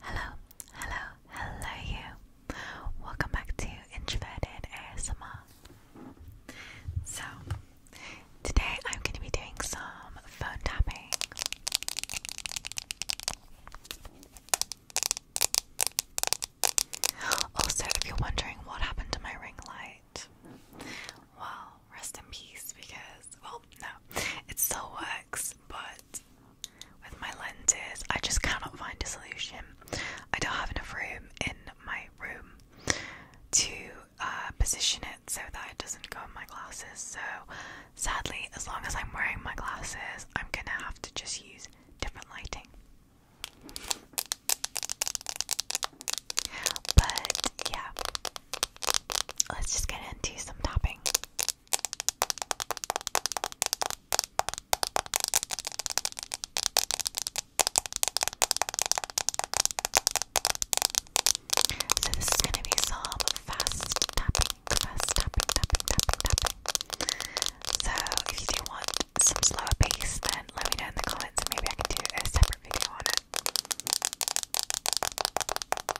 Hello, hello, hello you. Welcome back to Introverted ASMR. So, today I'm going to be doing some phone tapping. Also, if you're wondering what happened to my ring light, well, rest in peace because, well, no, it still works, but with my lenses. I just cannot find a solution. I don't have enough room in my room to uh, position it so that it doesn't go in my glasses. So, sadly, as long as I'm wearing my glasses, I'm gonna have to just use different lighting. But yeah, let's just get into some tapping. So this is going to be some fast tapping, fast tapping, tapping, tapping, So if you do want some slower pace, then let me know in the comments and maybe I can do a separate video on it.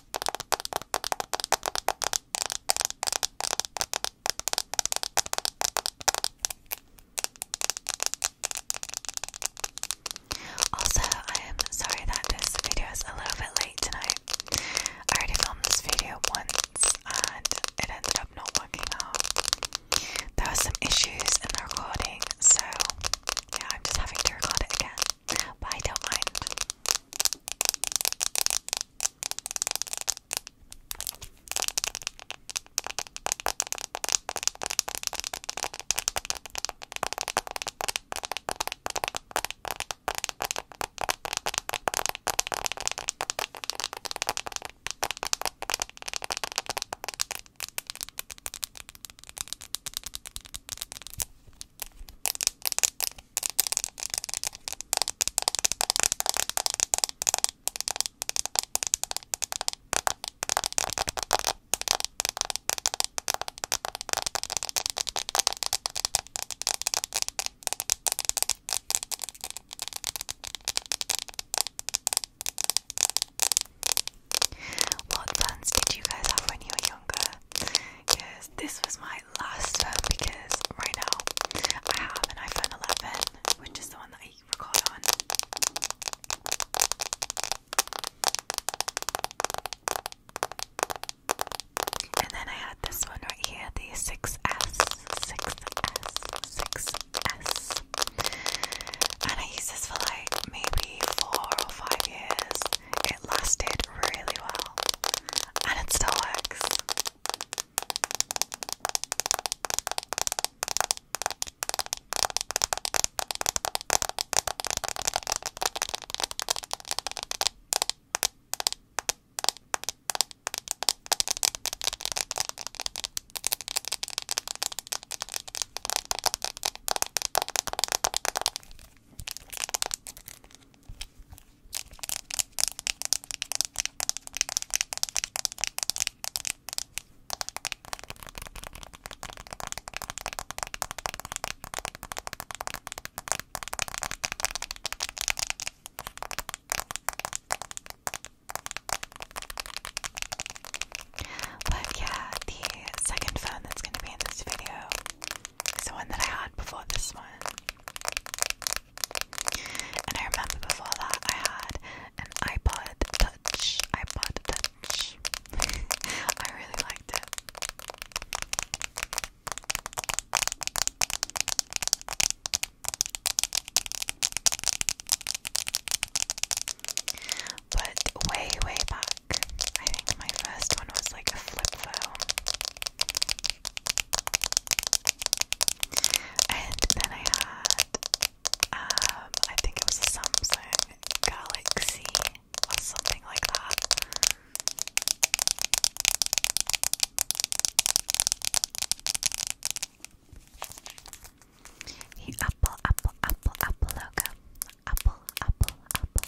Also, I am sorry that this video is a little bit late tonight. I already filmed this video once and it ended up not working out. There were some issues in the recording, so yeah, I'm just having to record it again but I don't mind. What plans did you guys have when you were younger? because this was my last phone because right now I have an iPhone 11 which is the one that I recorded on and then I had this one right here the six six S, S, six S, and I used this for like maybe 4 or 5 years it lasted really well and it still works. But yeah, the second phone that's going to be in this video it's the one that I had before this one. And I remember before that I had an iPod Touch. iPod Touch. I really liked it. But way, way back, I think my first one was like a flip phone. And then I had, um, I think it was a Samsung Galaxy or something like that. The Apple, Apple, Apple, Apple logo. Apple, Apple, Apple.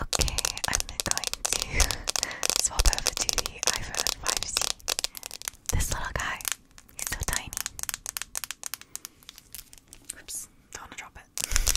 Okay, I'm going to swap over to the iPhone 5C. This little guy, he's so tiny. Oops, don't drop it.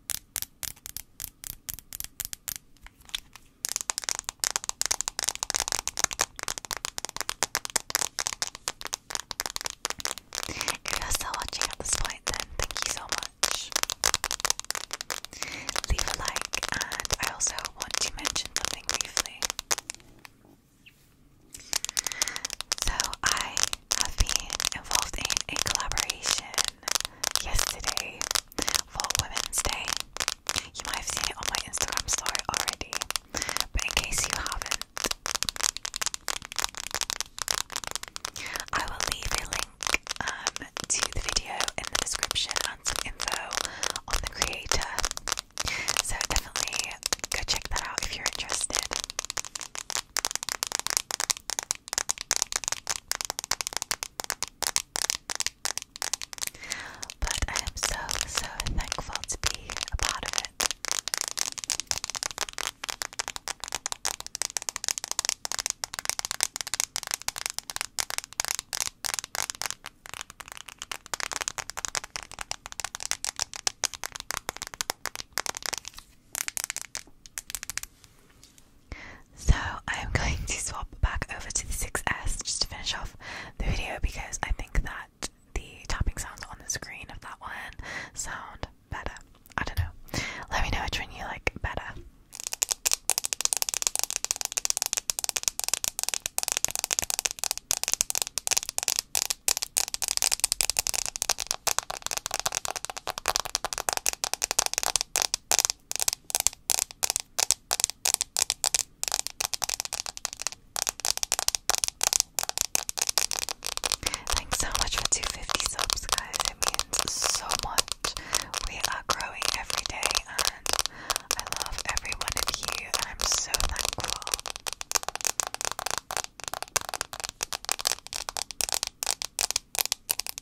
If you're still watching at this point, then thank you so much. Leave a like, and I also want to mention something briefly. So, I have been involved in a collaboration yesterday for Women's Day. You might have seen it on my Instagram story already, but in case you haven't, I will leave a link um, to the video in the description and some info on the creator. So definitely go check that out if you're interested. But I am so, so thankful to be a part of it. So I am going to swap back over to the 6S just to finish off the video because I think that the tapping sounds on the screen of that one sound better. I don't know. Let me know which one you like better. Thanks so much for 250 subs, guys. It means so much. We are growing every day, and I love every one of you. And I'm so thankful.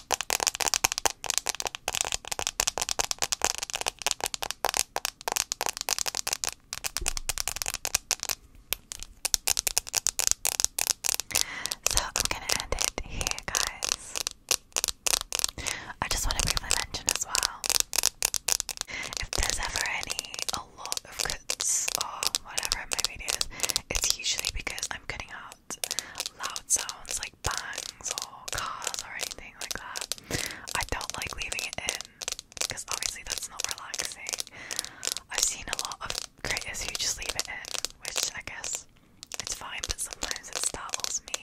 So I'm gonna end it here, guys. I just want to briefly mention as well if there's ever any a lot of cuts or whatever in my videos, it's usually because I'm cutting out loud, loud sounds like bangs or cars or anything like that. I don't like leaving it in because obviously that's not relaxing. I've seen a lot of creators who just leave it in, which I guess it's fine, but sometimes it startles me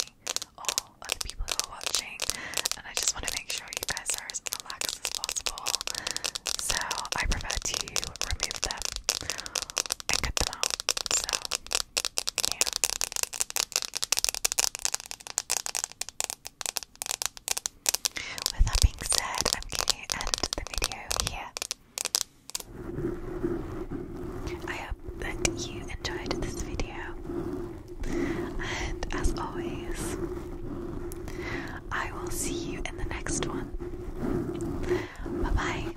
or other people who are watching, and I just want to make sure you guys are as relaxed as possible. So I prefer to remove them and cut them out. So with that being said, I'm going to end the video here. I hope that you enjoyed this video, and as always, I will see you in the next one. Bye bye.